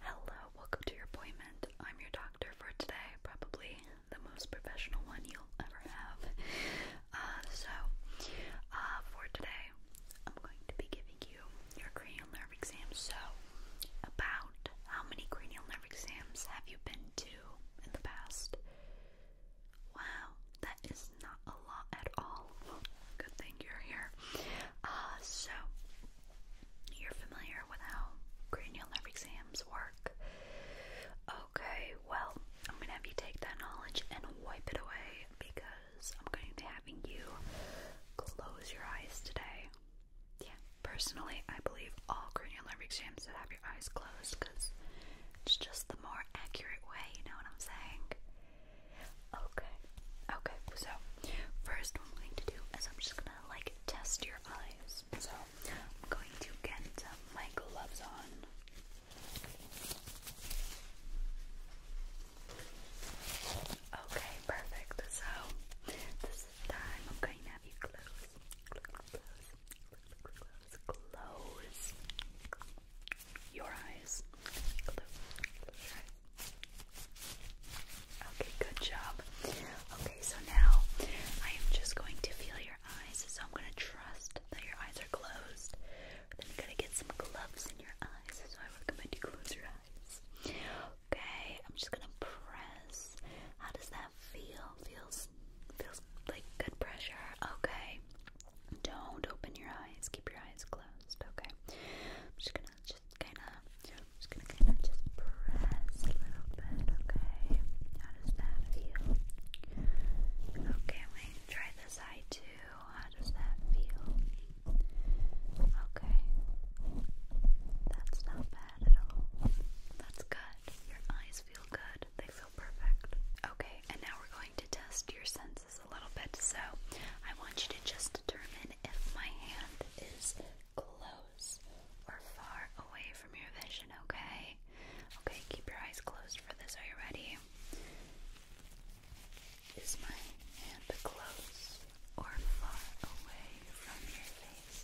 Hello, welcome to your appointment. I'm your doctor for today, probably the most professional one you'll ever have. Uh, so, uh, for today, I'm going to be giving you your cranial nerve exam. So, about how many cranial nerve exams have you been to in the past? Wow, that is not a lot at all. Good thing you're here. Uh, so, you're familiar with how cranial nerve exams work? Okay, well, I'm gonna have you take that knowledge and wipe it away because I'm going to having you close your eyes today. Yeah, personally, I believe all cranial nerve exams should have your eyes closed because it's just the more accurate way, you know what I'm saying? Okay, okay, so first I'm going to do is I'm just gonna like test your eyes. So I'm going to get my gloves on. Okay, perfect. So this time I'm going to have you close, close, close, close, Close, close your eyes. Okay, good job. Okay, so now I am just going to feel your eyes. So I'm going to trust that your eyes are closed. Then you're going to get some gloves in your eyes. So I recommend you close your eyes. Okay, I'm just going to press. How does that feel? Feels feels like good pressure. Okay. Don't open your eyes. Keep your eyes closed. Okay. I'm just going to just kind of, just gonna kind of just press a little bit, okay? How does that feel? Okay, i try this eye too. How does that feel? Okay, that's not bad at all. That's good. Your eyes feel good. They feel perfect. Okay, and now we're going to test your senses a little bit. So I want you to just determine if my hand is close or far away from your vision, okay? Okay, keep your eyes closed for this. Are you ready? Is my hand close or far away from your face?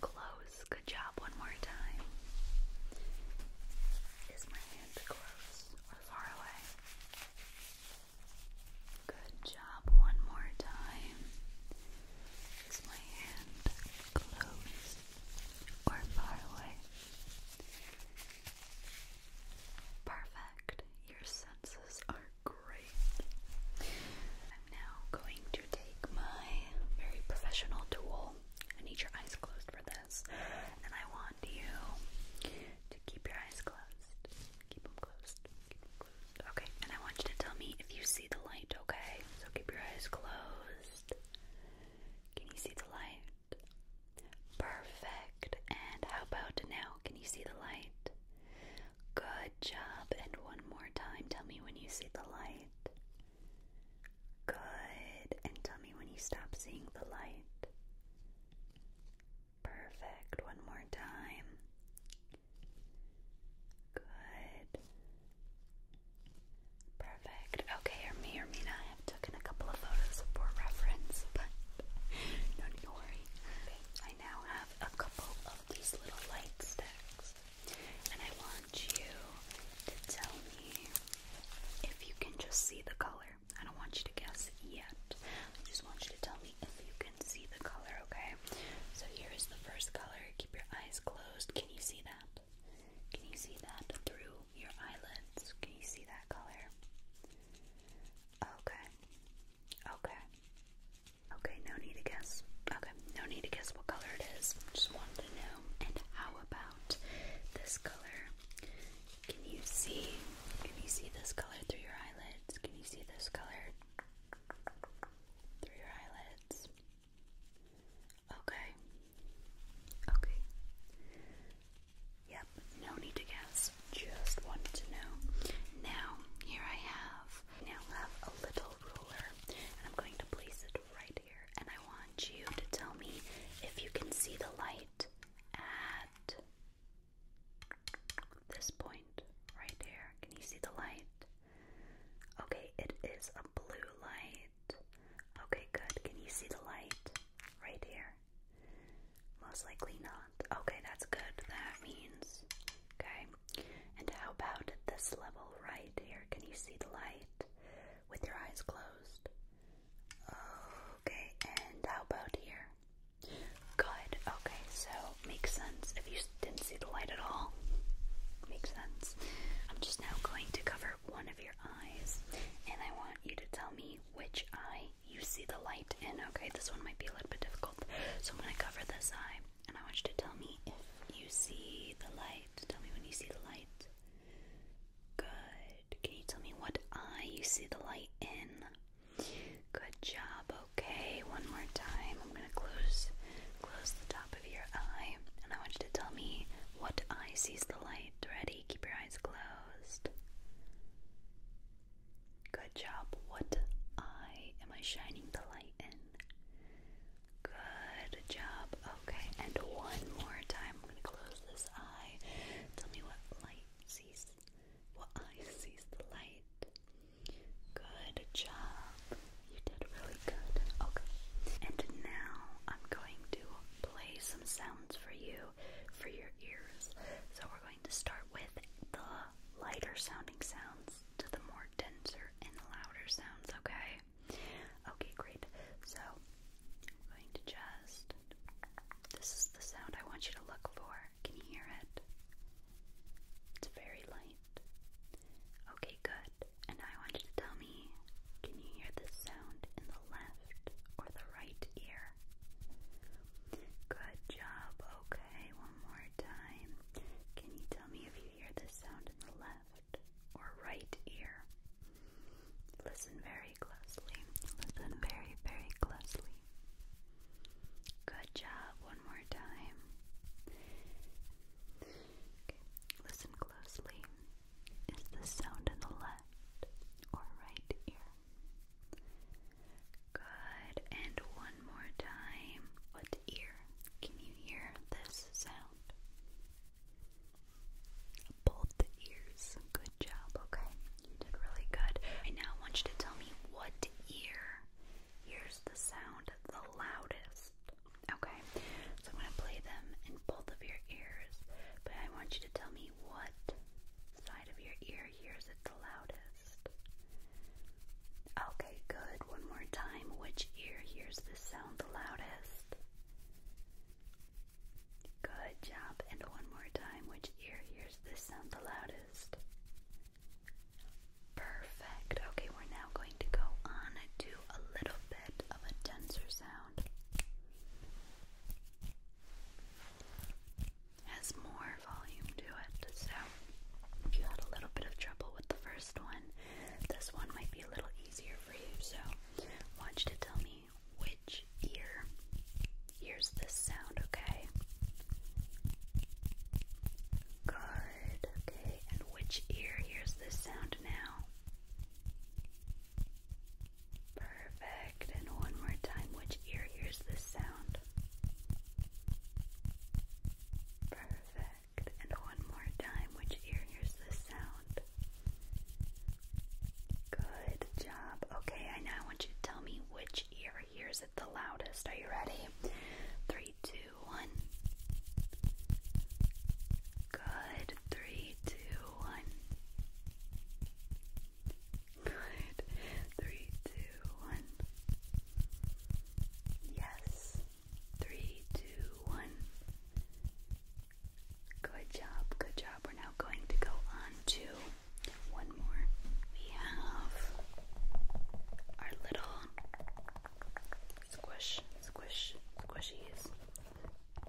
Close. Good job. One more time. Is my hand close or far away? Good job. One more time. Is my hand close or far away? Perfect. Your senses are great. I'm now going to take my very professional tool. I need your eyes closed for this. And I want you to keep your eyes closed. Keep them closed. Keep them closed. Okay, and I want you to tell me if you see the light, okay? So keep your eyes closed. Can you see the light? Perfect. And how about now? Can you see the light? Good job. And one more time. Tell me when you see the light. Good. And tell me when you stop seeing the light. Perfect. One more time. Good. Perfect. Okay, or me or Mina, I have taken a couple of photos for reference, but no need to worry. I now have a couple of these little light sticks, and I want you to tell me if you can just see the color. I don't want you to guess yet. I just want you to tell me if you can see the color, okay? So here is the first color. Keep your eyes closed. Can you see that? Can you see that through your eyelids? Can you see that color? Okay. Okay. Okay, no need to guess. Okay, no need to guess what color it is. Just wanted to know. And how about this color? Can you see? Can you see this color through your eyelids? Can you see this color through your eyelids? Okay. Okay. Yep, no need to guess. Just wanted to know. Now, here I have now have a little ruler and I'm going to place it right here and I want you to tell me if you can see the light at this point right here. Can you see the light? Okay, it is a blue light. Okay, good. Can you see the light right here? Most likely not. Okay, that's good. That means. Okay. And how about this level right here? Can you see the light with your eyes closed? Okay, and how about here? Good. Okay, so makes sense. If you didn't see the light at all, makes sense. I'm just now going to cover one of your eyes, and I want you to tell me which eye you see the light in. Okay, this one might be a little bit difficult, so I'm going to cover this eye, and I want you to tell me if you see the light. Tell me when you see the light. Good. Can you tell me what eye you see the light in? Good job. Okay, one more time. I'm gonna close close the top of your eye and I want you to tell me what eye sees the light. Ready? Keep your eyes closed. Good job. What eye am I shining the light in? Good job. Okay, and one more time. I'm gonna close this eye. Tell me what light sees well, I sees the light. Good job. You did really good. Okay. And now I'm going to play some sounds for you for your ears. So we're going to start with the lighter sounding sounds to the more denser and louder sounds, okay? Okay, great. So I'm going to just this is the sound I want you to look for. Can you hear it? It's very light. Okay, good. And I want you to tell me can you hear this sound in the left or the right ear? Good job. Okay, one more time. Can you tell me if you hear this sound in the left or right ear? Listen very closely. Listen very, very closely. Good job. One more time. listen closely. Is the sound in the left or right ear? Good. And one more time. What ear? Can you hear this sound? Both ears. Good job. Okay did really good. I now want you to tell me what ear hears the sound the loudest. Okay, so I'm going to play them in both of your ears, but I want you to tell me what side of your ear hears it the loudest. Okay, good. One more time. Which ear hears this sound the loudest? Good job. And one more time. Which ear hears this sound the loudest? Perfect. Okay, we're now going to go on to a little bit of a denser sound. Has more volume to it. So, if you had a little bit of trouble with the first one, this one might be a little easier for you. So, watch to tell me which ear here's the sound, okay? Good, okay, and which ear hears this sound now? Perfect, and one more time, which ear hears this sound? Perfect, and one more time, which ear hears this sound? Good job. Okay, I now want you to tell me which here, here's hears it the loudest? Are you ready? Three, two, one. Good. Three, two, one. Good. Three, two, one. Yes. Three, two, one. Good job, good job. We're now going to go on to one more. We have our little squish, squish, squishies.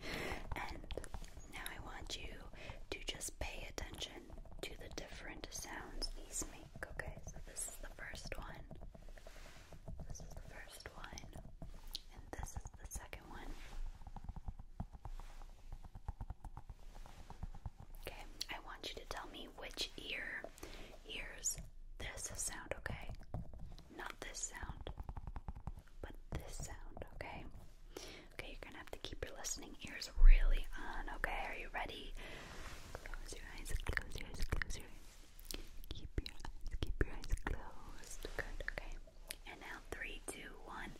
And now I want you to just pay attention to the different sounds these make. Okay, so this is the first one. This is the first one. And this is the second one. Okay, I want you to tell me which ear hears this sound, okay? Not this sound, but this sound, okay? Okay, you're gonna have to keep your listening ears really on, okay? Are you ready? Close your eyes, close your eyes, close your eyes. Keep your eyes, keep your eyes closed. Good, okay. And now, three, two, one.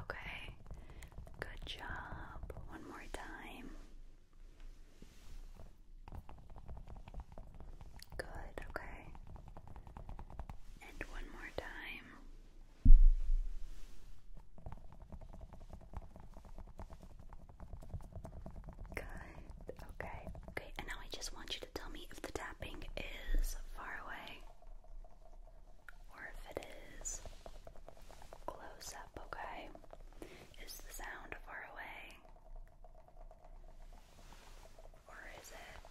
Okay, good job. One more time. Good, okay. And one more time. Good, okay. Okay, and now I just want you to tell me if the tapping is far away or if it is close up, okay? Is the sound far away? Or is it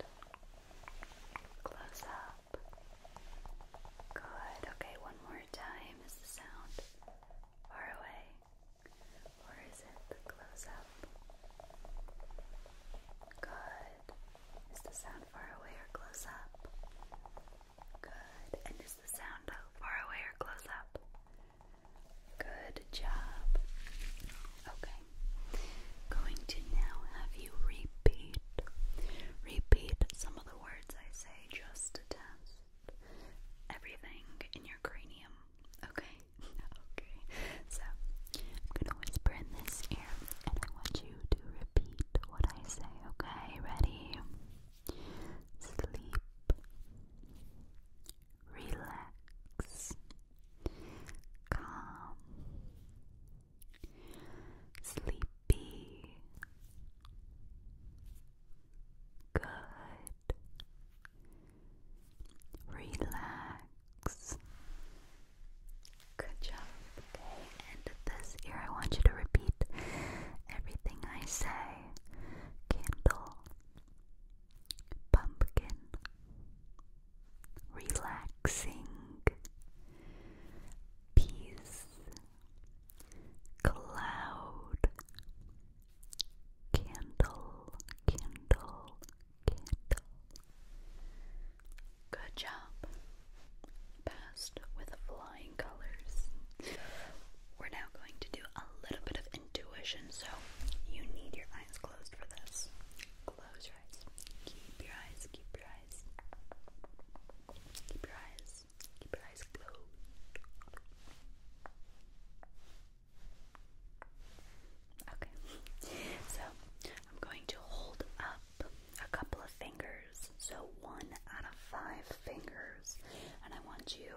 close up? Good, okay, one more time. Is the sound far away? Or is it close up? Good. Is the sound far away or close up? Good. And is the sound far away or close up? Good job. Okay. Going to now have you repeat. Repeat some of the words I say just test everything in your cranium. Okay? okay. So I'm gonna whisper in this ear and I want you to repeat what I say, okay? Ready? Sleep. Relax. Calm. Sleepy. Good. Relax. Good job. and this year I want you to repeat everything I say. Candle. Pumpkin. Relaxing. Peace. Cloud. Candle. Candle. Good job. Passed with flying colors. We're now going to do a little bit of intuition, so you need your eyes closed for this. Close your eyes. Keep your eyes, keep your eyes. Keep your eyes, keep your eyes closed. Okay, so I'm going to hold up a couple of fingers, so one out of five fingers, and I want you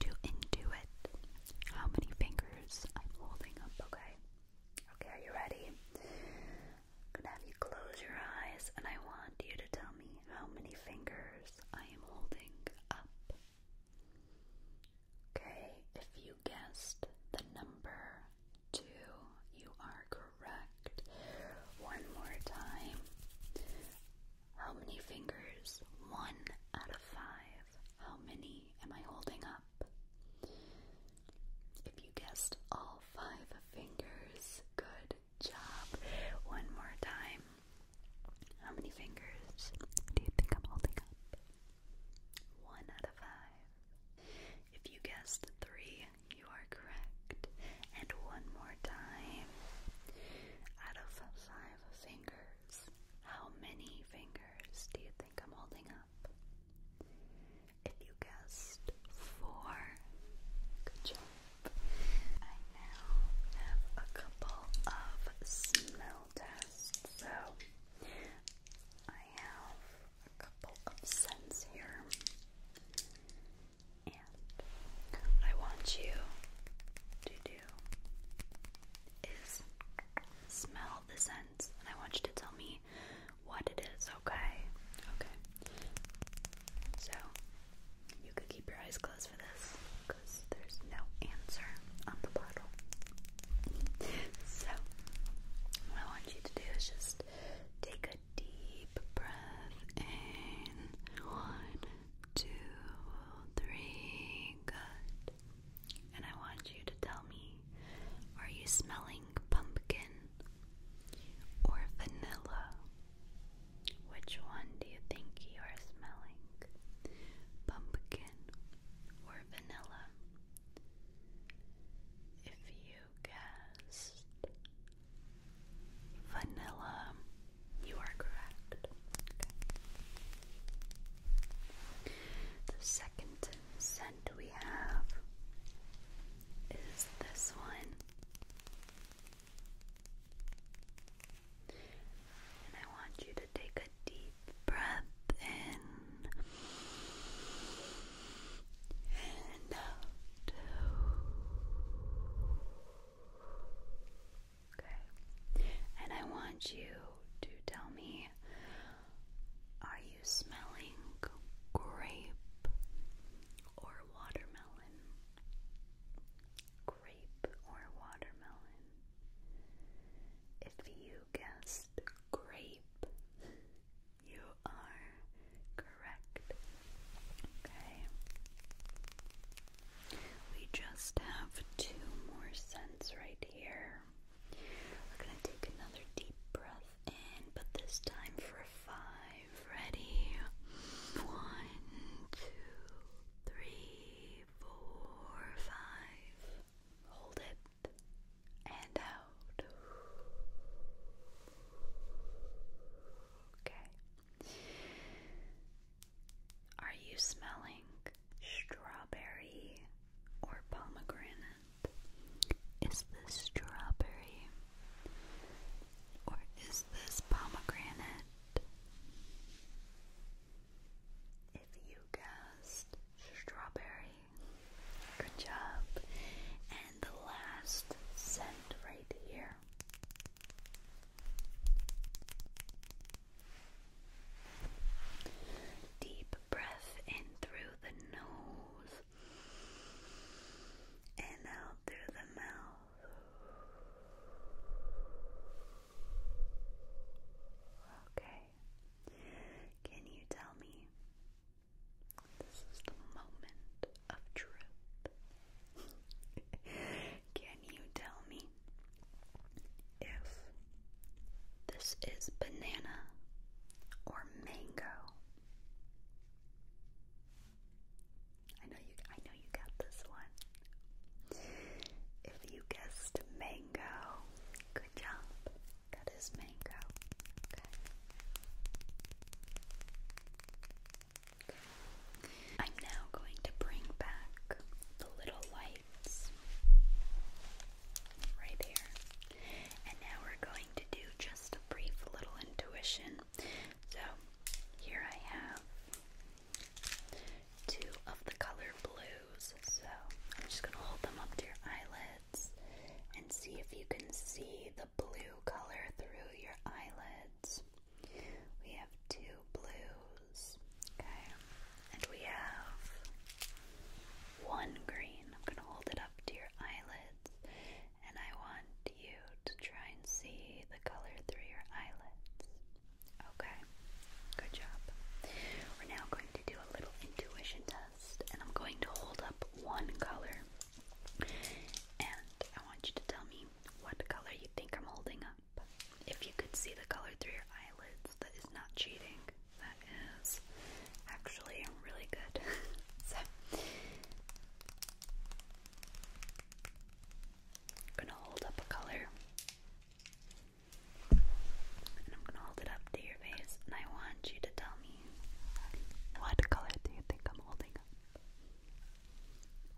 to it. how many fingers I'm holding up, okay? Okay, are you ready? I'm gonna have you close your eyes, and I want you to tell me how many fingers I am holding up. Okay, if you guessed the number two. You are correct. One more time. How many fingers? One out of five. How many am I holding up? If you guessed all five fingers, good job. One more time. How many fingers do you think I'm holding up? One out of five. If you guessed three, you are correct. And one more time. Out of five fingers, how many fingers do you think I'm holding up? If you guessed four, good job. I now have a couple of smell tests. So I have a couple cents here. And I want you to do is smell the scents, and I want you to tell me what it is, okay? Okay. So, you could keep your eyes closed for this because there's no answer on the bottle. so, what I want you to do is just take a deep breath in. One, two, three. Good. And I want you to tell me are you smelling pumpkin or vanilla? Which one do you think you are smelling? Pumpkin or vanilla? If you vanilla. You are correct. The second scent we have is this one. And I want you to take a deep breath in and out. Okay. And I want you to tell me are you smelling grape or watermelon? Grape or watermelon? If you guessed grape, you are correct. Okay. We just have two more scents right here. We're going to take another deep breath in, but this time for five. Ready? One, two, three, four, five. Hold it and out. Okay. Are you smelling strawberry or pomegranate? Is this strawberry or is this pomegranate? If you guessed strawberry, Good job. And the last scent right here. Deep breath in through the nose and out through the mouth. Okay. Can you tell me this is the moment of truth. Can you tell me if this is banana or mango? I know you I know you got this one. If you guessed mango, good job. That is mango. Okay. I'm now going to bring back the little lights right here. And now we're going to do just a brief little intuition. So here I have two of the color blues. So I'm just going to hold them up to your eyelids and see if you can see the blue color through your eyelids. We have two blues, okay, and we have one green. I'm going to hold it up to your eyelids, and I want you to try and see the color through your eyelids. Okay, good job. We're now going to do a little intuition test and I'm going to hold up one color and I want you to tell me what color you think I'm holding up. If you could see the color through your eyelids, that is not cheating. That is actually really good. so I'm gonna hold up a color and I'm gonna hold it up to your face and I want you to tell me what color do you think I'm holding up?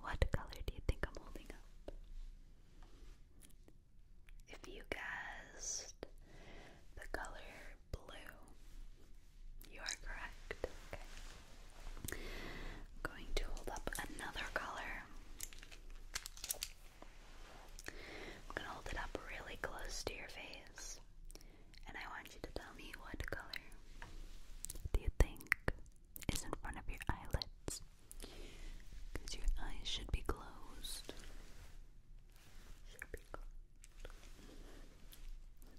What color do you think I'm holding up? If you guessed the color blue, you are correct. Okay. I'm going to hold up another color. I'm going to hold it up really close to your face and I want you to tell me what color do you think is in front of your eyelids? Because your eyes should be closed.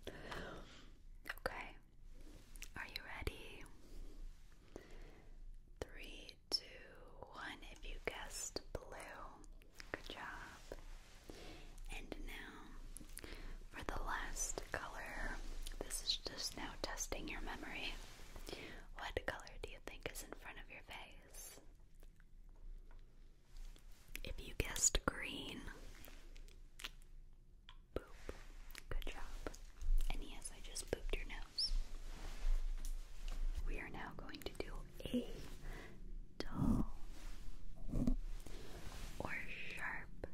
Okay. Are you ready? Three, two, one. If you guessed blue, Good job. And now for the last color, this is just now testing your memory. What color do you think is in front of your face? If you guessed green, boop. Good job. And yes, I just booped your nose. We are now going to do a dull or sharp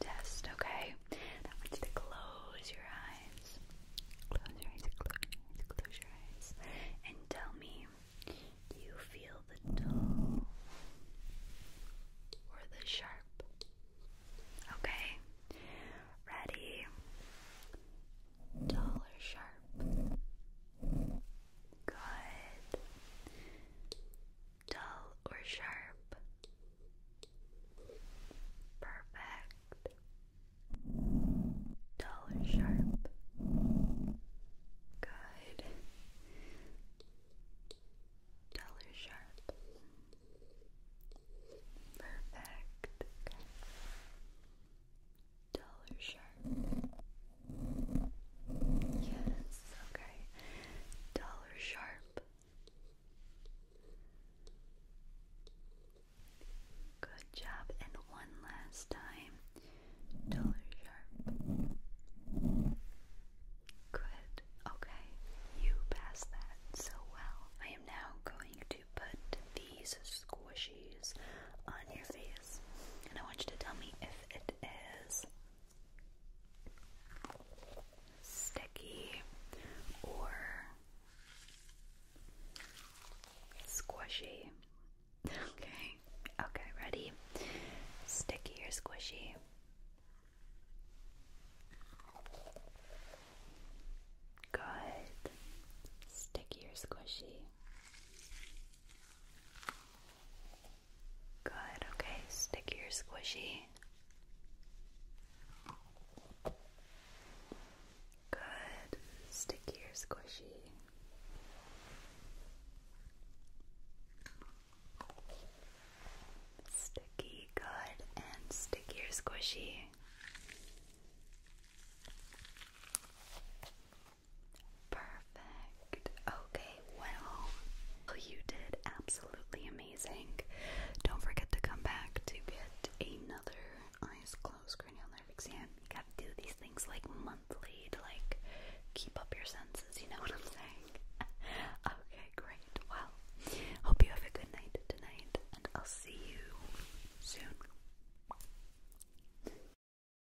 test, okay? That wants to close your eyes. Close your eyes, close your eyes, And tell me, you feel the dull or the sharp? Okay. Ready? Dull or sharp? Good. Dull or sharp? Perfect. Dull or sharp? Good. Dull or sharp? Perfect dollar sharp. Yes, okay. Dollar sharp. Good job. And one last time. Dollar sharp. Good. Okay. You passed that so well. I am now going to put these squish cheese on your face. And I want you to tell me if it is sticky or squishy. Okay, okay, ready? Sticky or squishy? Good. Sticky or squishy? Good, okay, stick your squishy. Good, stick your squishy. Sticky, good, and stick your squishy. Perfect. Okay, well, you did absolutely amazing. Don't forget to come back to get another eyes closed cranial nerve exam. You gotta do these things like monthly to like keep up your senses, you know what I'm saying? okay, great. Well, hope you have a good night tonight, and I'll see you soon.